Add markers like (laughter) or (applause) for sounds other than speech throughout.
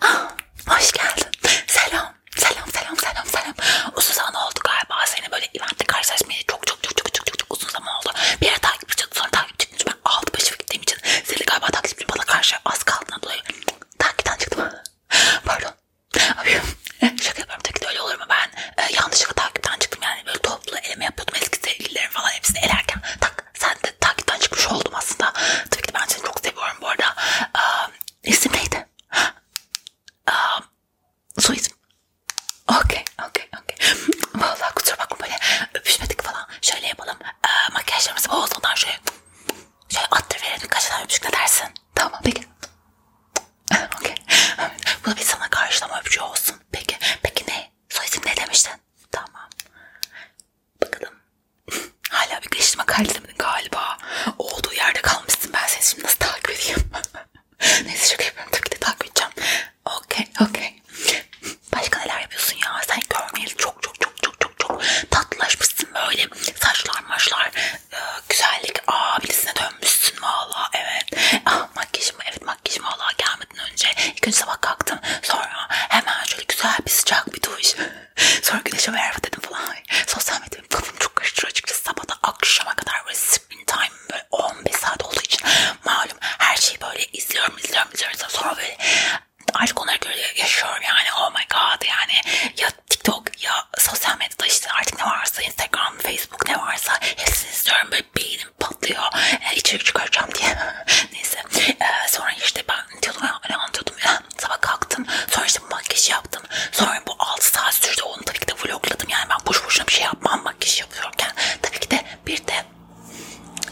Ah, hoş geldin. Selam. Selam selam selam selam. Uzun zaman oldu galiba. Seni böyle eventte karşılaşmaya çok çok çok çok çok çok çok uzun zaman oldu. Bir yere takip çıktı sonra takip çıktı. Ben altı başı gittiğim için seni galiba takipçim bana karşı az kaldığından dolayı takipten çıktım. Pardon. Abi, (laughs) şaka yapıyorum tabii ki öyle olur mu? Ben e, yanlışlıkla takipten çıktım yani böyle toplu eleme yapıyordum eski sevgililerim falan hepsini elerken tak sen de takipten çıkmış oldum aslında. Tabii ki ben seni çok seviyorum bu arada. Um, isim neydi? Um, soyisim. Okey, okey, okey. Vallahi kusura bakma böyle öpüşmedik falan. Şöyle yapalım. E, makyajlarımızı bozmadan şöyle, şöyle attır verelim. Kaç tane öpücük ne dersin? Tamam, peki. okey. Bu da bir sana karşılama öpücüğü olsun. Peki, peki ne? Soyisim ne demiştin? Tamam. Bakalım. Hala bir kaşıma kaydedemedin galiba. Olduğu yerde kalmışsın. Ben seni şimdi nasıl takip edeyim? (laughs) Neyse şaka yapıyorum. Tabii ki de takip edeceğim. Okey, okey. Başka neler yapıyorsun ya? Sen görmeyeli çok çok çok çok çok çok tatlılaşmışsın böyle. Saçlar maçlar, e, güzellik abilisine dönmüşsün valla. Evet. Ah, makyajım, evet makyajım valla gelmedi yatmadan önce ilk önce sabah kalktım. Sonra hemen şöyle güzel bir sıcak bir duş. (laughs) Sonra güneşe merhaba dedim falan. Sosyal medya benim kafamı çok karıştırıyor açıkçası. Sabahda akşama kadar böyle screen time böyle 15 saat olduğu için malum her şeyi böyle izliyorum izliyorum izliyorum. Sonra böyle artık onlara göre yaşıyorum yani oh my god yani ya TikTok ya sosyal medyada işte artık ne varsa Instagram, Facebook ne varsa hepsini istiyorum böyle beynim patlıyor. E, içeri çıkaracağım diye. (laughs) Neyse. E, sonra işte ben diyordum ya ne anlatıyordum ya. Sabah kalktım. Sonra işte bu makyajı yaptım. Sonra bu 6 saat sürdü. Onu tabii ki de vlogladım. Yani ben boş boşuna bir şey yapmam makyaj yapıyorken. Tabii ki de bir de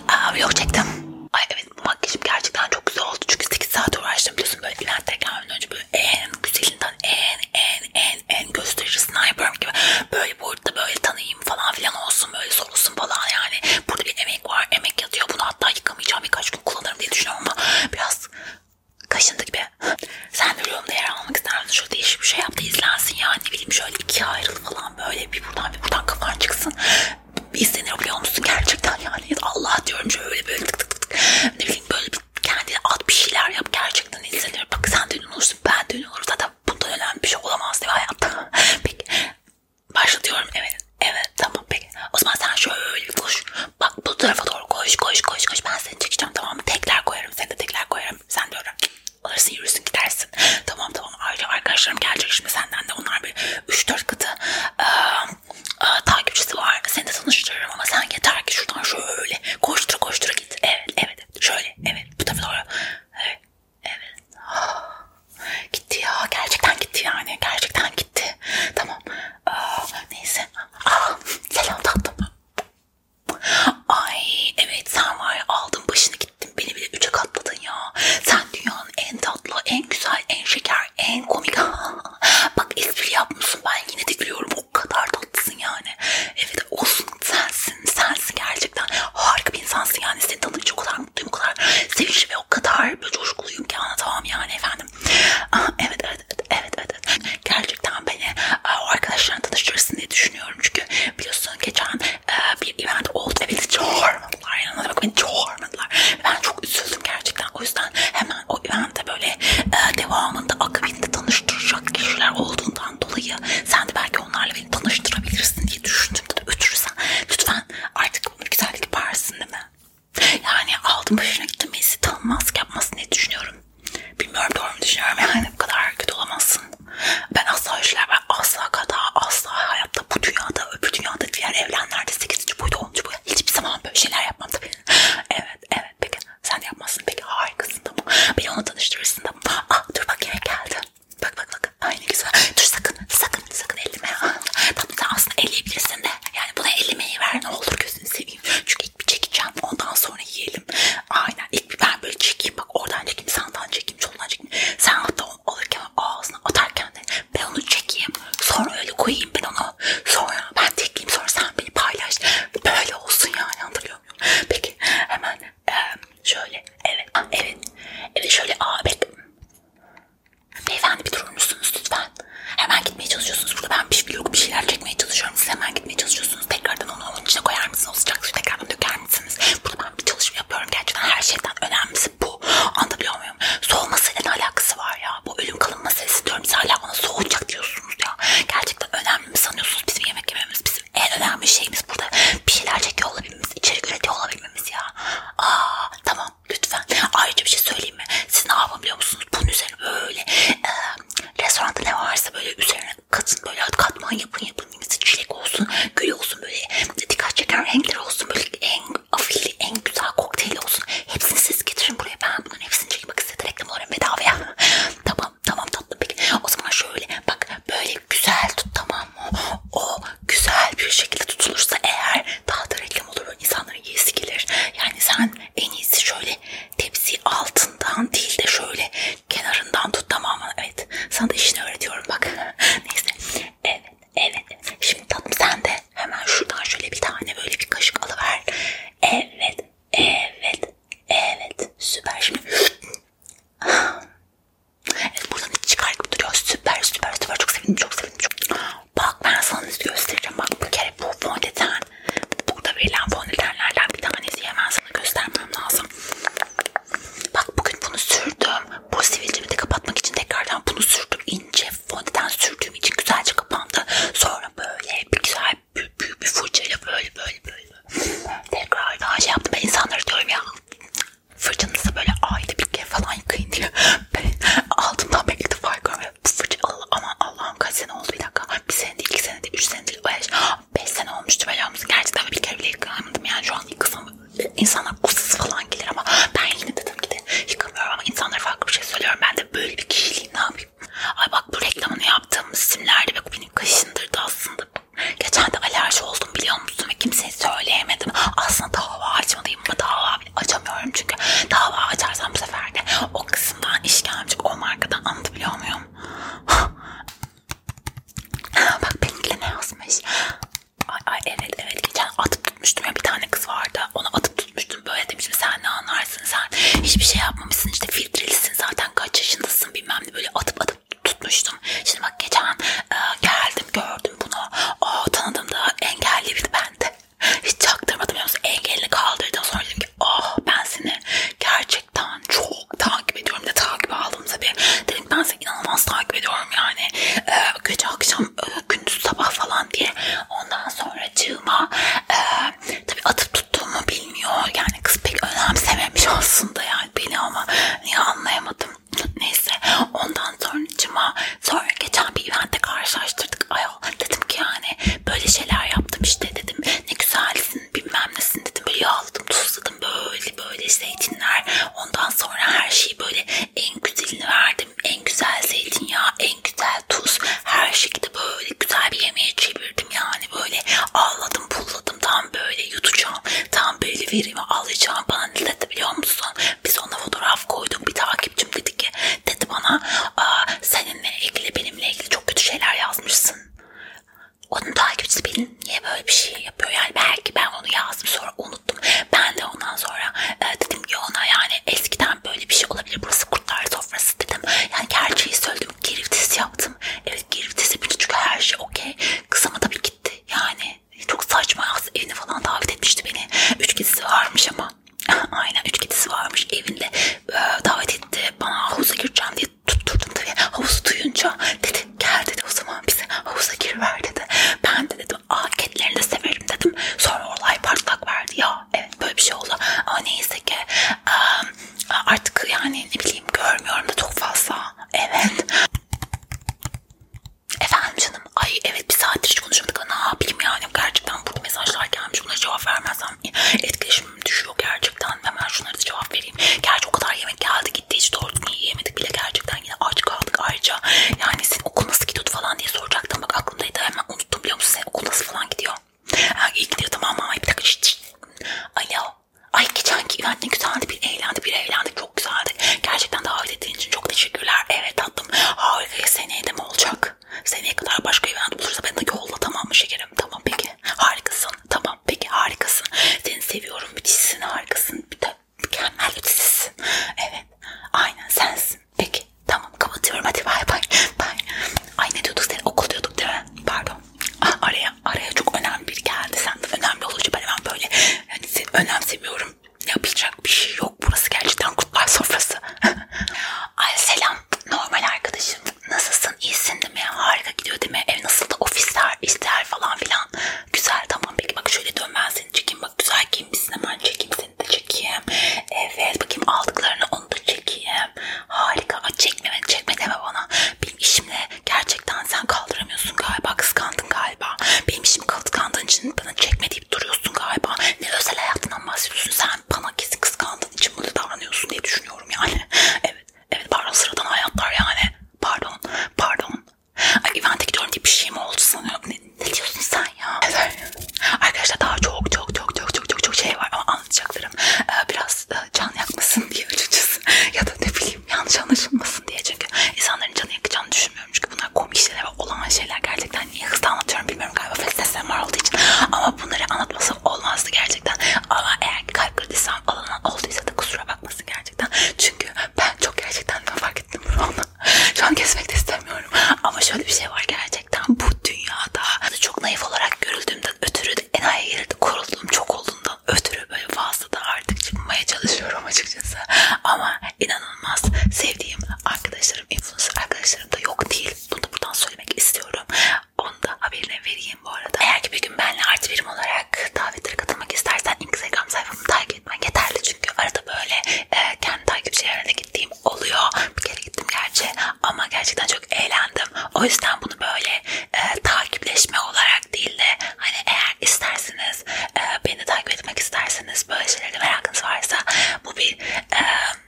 Aa, e, vlog çektim. Ay evet bu makyajım gerçekten çok güzel oldu. Çünkü 8 saat uğraştım biliyorsun böyle Bülent'e gelmeden önce böyle en güzelinden en en en en göstericisini yapıyorum gibi. Böyle böyle boyutta böyle tanıyayım falan filan olsun böyle sorulsun falan yani. Burada bir emek var. Emek yatıyor. Bunu hatta yıkamayacağım birkaç gün kullanırım diye düşünüyorum ama biraz kaşındı gibi. Sen de videomda yer almak ister misin? Şöyle değişik bir şey yap da izlensin yani ne bileyim şöyle ikiye ayrıl falan böyle bir buradan bir buradan kafan çıksın. Bir izlenir biliyor musun gerçekten yani Allah diyorum şöyle böyle tık tık tık tık ne bileyim böyle bir kendine at bir şeyler yap gerçekten izlenir. Bak sen de ünlü olursun ben de ünlü olurum zaten bundan önemli bir şey olamaz değil mi hayatta? (laughs) Peki başlatıyorum evet. Evet tamam peki. O zaman sen şöyle koş. Bak bu tarafa doğru koş koş koş koş. Ben seni çekeceğim tamam mı? Tekler koyarım. Sen de tekler koyarım. Sen de öyle alırsın yürüsün gidersin. Tamam tamam. Ayrıca arkadaşlarım gelecek şimdi senden de. Onlar bir 3-4 katı ıı, ıı, takipçisi var. Seni de tanıştırırım ama sen yeter ki şuradan şöyle koştur koştur git. Evet evet. Şöyle evet. Bu tarafa doğru. Evet. Evet. Ah, (gasps) gitti ya. Gerçekten gitti yani. Gerçekten gitti. Tamam. Aa, neyse. Aa, selam tatlım. Ay evet sen var ya aldın başını gittin. Beni bile üçe katladın ya. Sen dünyanın en tatlı, en güzel, en şeker, en komik. (laughs) Bak espri yapmışsın. Ben yine de gülüyorum. O kadar tatlısın yani. Evet şekilde olsun sensin. Sensin gerçekten. Harika bir insansın yani. Seni tanıdıkça o kadar mutluyum. O kadar sevinçli ve o kadar böyle coşkuluyum ki anlatamam yani efendim. Aa, evet, evet evet evet evet. evet. Gerçekten beni o arkadaşlarına tanıştırırsın diye düşünüyorum. Çünkü biliyorsun geçen e, bir event oldu ve beni çağırmadılar. Yani bak beni çağırmadılar. Ben çok üzüldüm gerçekten. O yüzden hemen o eventte böyle e, devamında akabinde tanıştıracak kişiler olduğundan dolayı sen de belki belki onlarla beni tanıştırabilirsin diye düşündüm. Dedi, Ötürürsen lütfen artık bunu güzel yaparsın değil mi? Yani aldım başına gittim birisi tanınmazlık yapmasın diye düşünüyorum. Bilmiyorum doğru mu düşünüyorum yani bu kadar kötü olamazsın. Ben asla işler ben asla kata asla hayatta bu dünyada öbür dünyada diğer evlenlerde 8. boyda 10. boyda hiçbir zaman böyle şeyler yapmam tabii. evet evet peki sen de yapmazsın peki harikasın tamam. Beni ona tanıştırırsın uyandım. Ah dur bak yemek geldi. Bak bak bak. Ay ne güzel. Dur sakın sakın sakın elleme. Tamam sen aslında elleyebilirsin de. Yani buna ellemeyi ver ne olur gözünü seveyim. Çünkü ilk bir çekeceğim ondan sonra yiyelim. Aynen ilk bir ben böyle çekeyim bak oradan çekeyim sağdan çekeyim soldan çekeyim. Sen hatta onu alırken ağzına atarken de ben onu çekeyim. Sonra öyle koyayım ben onu. Sonra ben tekleyeyim sonra sen beni paylaş. Böyle olsun yani hatırlıyor muyum? Peki hemen ee, şöyle evet evet evet şöyle aa evet beyefendi bir durur musunuz lütfen hemen gitmeye çalışıyorsunuz burada ben bir vlog bir şeyler çekmeye çalışıyorum siz hemen gitmeye çalışıyorsunuz tekrardan onu onun içine koyar mısınız o sıcak suyu tekrardan döker misiniz burada ben bir çalışma yapıyorum gerçekten her şeyden önemlisi bu anlatabiliyor muyum soğumasıyla ne alakası var ya bu ölüm kalım meselesi diyorum siz hala bana soğuyacak diyorsunuz ya gerçekten önemli mi sanıyorsunuz bizim yemek yememiz bizim en önemli şeyimiz burada bir şeyler çekiyor olabilmemiz, içerik üretiyor olabilmemiz ya. Aa, tamam lütfen. Ayrıca bir şey söyleyeyim mi? Siz ne yapın biliyor musunuz? Bunun üzerine böyle e, restoranda ne varsa böyle üzerine katın böyle katman yapın yapın. Mesela çilek olsun, gül olsun böyle dikkat çeken renkler olsun böyle en afili, en güzel kokteyli olsun. Hepsini siz getirin buraya. Ben bunların hepsini çekmek istedim. Reklam olarak bedavaya. (laughs) tamam Tamam tamam tatlım peki. O zaman şöyle bak böyle güzel tut tamam mı? O güzel bir şekilde tutulursa eğer daha da reklam olur. insanların yesi gelir. Yani sen en iyisi şöyle tepsi altından değil de şöyle kenarından tut tamam mı? Evet. Sana da işini öğretiyorum bak. (laughs) Neyse. Evet. Evet. Şimdi tatlım sen de hemen şuradan şöyle bir tane böyle bir kaşık alıver. Evet. Evet. Evet. Süper şimdi. Ah. evet buradan hiç çıkar gibi duruyor. Süper süper süper. Çok sevindim çok sevindim. Çok... Bak ben sana göstereceğim. Bak bir kere bu fondöten. Burada verilen fondötenlerden bir tanesi. Hemen sana göstermem lazım. Bak bugün bunu sürdüm. Bu sivilcimi de kapatmak için tekrardan bunu sürdüm. İnce fondöten sürdüğüm için güzelce kapandı. Sonra böyle bir güzel ben büyük, büyük bir fırçayla böyle böyle böyle tekrar daha şey yaptım. Ben insanlara diyorum ya fırçanızı böyle ayda bir kere falan yıkayın diye. Ben altımdan ben ilk defa yıkıyorum. Fırça Allah, aman Allah'ım kaç sene oldu bir dakika. Bir sene değil, iki sene değil, üç sene değil, beş, beş sene olmuştu böyle musun? Gerçekten bir kere bile yıkamadım yani şu an yıkasam insanlar kusuz falan gelir ama ben yine dedim ki de yıkamıyorum ama insanlara farklı bir şey söylüyorum. Ben de böyle bir kişiliğim ne yapayım? var. Ay bak bu reklamını yaptığımız simlerde ve bu beni kaşındırdı aslında. Geçen de alerji oldum biliyor musun ve kimseye söyleyemedim. Aslında dava açmalıyım ama dava açamıyorum çünkü dava açarsam bu sefer de o kısımdan işkence o markadan anlatabiliyor muyum? (laughs) bak benimkine ne yazmış? Ay ay evet evet geçen atıp tutmuştum ya bir tane kız vardı ona atıp tutmuştum böyle demiştim sen ne anlarsın sen hiçbir şey yapmamışsın işte filtrelisin zaten kaç yaşındasın bilmem ne böyle atıp atıp tutmuştum. Şimdi bak geçen e, geldim gördüm bunu o tanıdım da engelli bir bende. Hiç çaktırmadım biliyor musun? Engelini kaldırdım sonra dedim ki oh ben seni gerçekten çok takip ediyorum de takip aldım tabii. Dedim ki ben seni inanılmaz takip ediyorum yani. E, gece akşam e, gündüz sabah falan diye ondan sonra cığıma e, tabii atıp tuttuğumu bilmiyor. Yani kız pek önemsememiş aslında yani beni ama niye anlayamadım. Neyse ondan sonra cıma sonra geçen bir eventte karşılaştırdık. Ayol dedim ki yani böyle şeyler yaptım işte dedim. Ne güzelsin bilmem nesin dedim. Böyle yağladım tuzladım böyle böyle zeytinler. Ondan sonra her şeyi böyle en güzelini verdim. En güzel zeytinyağı en güzel tuz her şekilde böyle güzel bir yemeğe çevirdim yani böyle ağladım pulladım tam böyle yutacağım tam böyle verimi alacağım bana ne dedi biliyor musun biz ona fotoğraf koyduk bir takipçim dedi ki dedi bana seninle ilgili benimle ilgili çok kötü şeyler yazmışsın onun takipçisi benim niye böyle bir şey yapıyor yani belki ben onu yazdım sonra unuttum ben de ondan sonra e, dedim ki ona yani eskiden yüzden böyle bir şey olabilir. Burası kurtlar sofrası dedim. Yani gerçeği söyledim. Geri vites yaptım. Evet geri vites yapınca çünkü her şey okey. Kız ama tabii gitti. Yani çok saçma. Aslında evine falan davet etmişti beni. Üç kedisi varmış ama. (laughs) Aynen üç kedisi varmış evinde. Ee, davet etti. Bana havuza gireceğim diye tutturdum tabii. Havuzu duyunca dedi gel dedi o zaman bize havuza gir ver dedi. Ben dedi dedim. Aa kedilerini de severim dedim. Sonra olay patlak verdi ya. Evet böyle bir şey oldu. Ama neyse ki artık yani ne bileyim görmüyorum da çok fazla. Evet. Efendim canım. Ay evet bir saattir hiç konuşamadık. Ne yapayım yani gerçekten burada mesajlar gelmiş. Bunlara cevap vermezsem etkileşimim düşüyor gerçekten. Hemen şunlara da cevap vereyim. Gerçi o kadar yemek geldi gitti. Hiç doğru yiyemedik bile gerçekten. Yine aç kaldık ayrıca. Yani senin okul nasıl gidiyordu falan diye soracaktım. Bak aklımdaydı hemen unuttum biliyor musun? Sen okul nasıl falan gidiyor? Ha, iyi gidiyor tamam ama bir dakika şişt, şişt. Alo. Ay geçenki event ne güzeldi. Bir eğlendi bir eğlendi. Çok güzeldi. Gerçekten davet ettiğin için çok teşekkürler. Evet tatlım. Harika. Seneye de mi olacak? Seneye kadar başka event bulursa beni de yolla tamam mı şekerim? Tamam peki. Harikasın. Tamam peki harikasın. Seni seviyorum. Müthişsin harikasın. Bir de mükemmel ötesizsin. Evet. Aynen sensin. Peki tamam kapatıyorum hadi bay bay. bay. Ay ne diyorduk seni okul diyorduk değil mi? Pardon. Ah, araya araya çok önemli bir geldi. Sen de önemli olunca ben hemen böyle yani seni önemsemiyorum. Yapılacak bir şey yok. Burası gerçekten kutlar sofrası. (laughs) Ay selam normal arkadaşım. Nasılsın? İyisin değil mi? Harika gidiyor değil mi? Ev nasıl da ofisler, işler falan filan. Güzel tamam peki bak şöyle dön ben seni çekeyim. Bak güzel giyinmişsin hemen çekeyim seni seni de çekeyim. Evet bakayım aldıklarını onu da çekeyim. Harika. Ama çekme beni çekme deme bana. Benim işimle gerçekten sen kaldıramıyorsun galiba. Kıskandın galiba. Benim işimi kıskandığın için bana çekme deyip duruyorsun galiba. Ne özel hayatından bahsediyorsun. Sen bana kesin kıskandığın için bunu davranıyorsun diye düşünüyorum yani. (laughs) evet. Evet pardon sıradan hayatlar yani. Pardon. Pardon. Ay evente gidiyorum diye bir şey mi oldu sanıyorum. Ne, ne diyorsun sen ya? Evet. Arkadaşlar daha çok çok çok çok çok çok çok şey var ama anlatacaklarım ee, biraz e, can yakmasın diye açıkçası (laughs) ya da ne bileyim yanlış anlaşılmasın diye çünkü insanların canı yakacağını düşünmüyorum çünkü bunlar komik şeyler ve olan şeyler gerçekten niye hızlı anlatıyorum bilmiyorum galiba felsefem var olduğu için ama bunları anlatması olmazdı gerçekten ama eğer kalp kırdıysam alana olduysa da kusura bakmasın gerçekten çünkü ben çok gerçekten fark ettim bunu şu an kesmek de istemiyorum. Ama şöyle bir şey var gerçekten bu dünyada çok naif olarak görüldüğümden ötürü de enayi yerinde korulduğum çok olduğundan ötürü böyle fazla da artık çıkmaya çalışıyorum açıkçası. Ama inanılmaz sevdiğim arkadaşlarım, influencer arkadaşlarım da yok değil. Bunu da buradan söylemek istiyorum. Onu da haberine vereyim bu arada. Eğer ki bir gün benle artı birim olarak davetlere katılmak istersen Instagram sayfamı takip gitmen yeterli çünkü arada böyle e, kendi takipçilerine gittiğim oluyor. Bir kere gittim gerçi ama gerçekten çok eğlendim. O yüzden bunu böyle e, takipleşme olarak değil de hani eğer isterseniz e, beni takip etmek isterseniz böyle şeylere merakınız varsa bu bir e,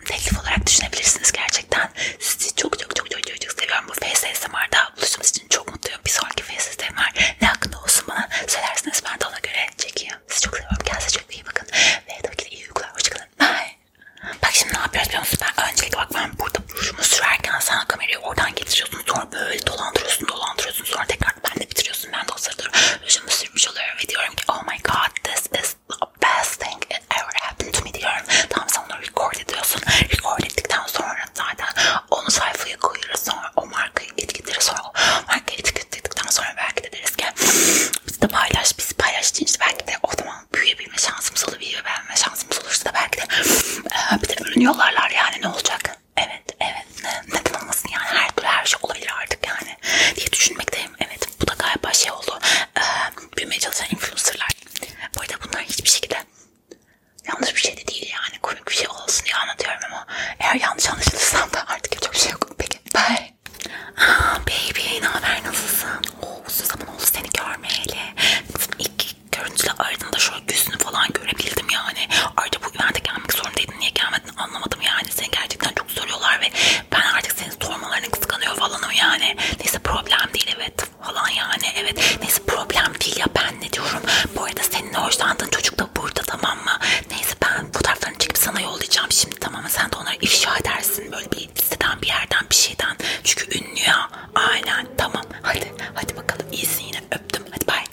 teklif olarak düşünebilirsiniz gerçekten. Sizi çok çok çok çok çok, çok seviyorum. Bu FSMR'da buluştuğumuz için çok mutluyum. Bir sonraki FSMR ne hakkında da olsun bana söylersiniz ben de ona göre çekeyim. Sizi çok seviyorum. Kendinize çok iyi bakın. Ve tabii ki de iyi uykular. Hoşçakalın. Bye. Bak şimdi ne yapıyoruz biliyor musun? Ben öncelikle bak ben burada buruşumu sürerken sen kamerayı oradan getiriyorsun. Sonra böyle dolandırıyorsun dolandırıyorsun. Sonra tekrar ben de bitiriyorsun. Ben de o sırada rujumu sürmüş oluyorum ve diyorum ki oh my god this is the best thing that ever happened to me diyorum. Tamam sen onu record ediyorsun. Record ettikten sonra sonra zaten onu sayfaya koyarız sonra o markayı etiketleriz sonra o markayı etiketledikten sonra belki de deriz ki bizi de paylaş bizi paylaştığın için belki de o zaman büyüyebilme şansımız olur video beğenme şansımız olursa da belki de e, bir de ürün yollarlar yani ne olacak evet evet ne, neden olmasın yani her türlü her şey olabilir artık yani diye düşünmekteyim evet bu da galiba şey oldu e, büyümeye çalışan influencerlar bu arada bunlar hiçbir şekilde Yanlış bir şey de değil yani. Komik bir şey olsun diye anlatıyorum ama eğer yanlış anlaşılırsam da artık yapacak bir şey yok. Peki. Bye. Aa, ah, baby ne haber nasılsın? Oo, uzun zaman oldu seni görmeyeli. İlk görüntüle aradığında şöyle yüzünü falan görebildim yani. Ayrıca bu evente gelmek zorundaydın. Niye gelmedin anlamadım yani. Seni gerçekten çok soruyorlar ve ben artık senin sormalarını kıskanıyor falanım yani. Neyse problem değil evet falan yani. Evet neyse problem değil ya ben ne diyorum. Bu arada senin hoşlandığın çocuk da burada tamam mı? Neyse ben fotoğraflarını çekip sana yollayacağım şimdi tamam mı? Sen de onları ifşa edersin böyle bir siteden bir yerden bir şeyden. Çünkü ünlü ya. Aynen tamam hadi hadi bakalım iyisin yine öptüm hadi bay.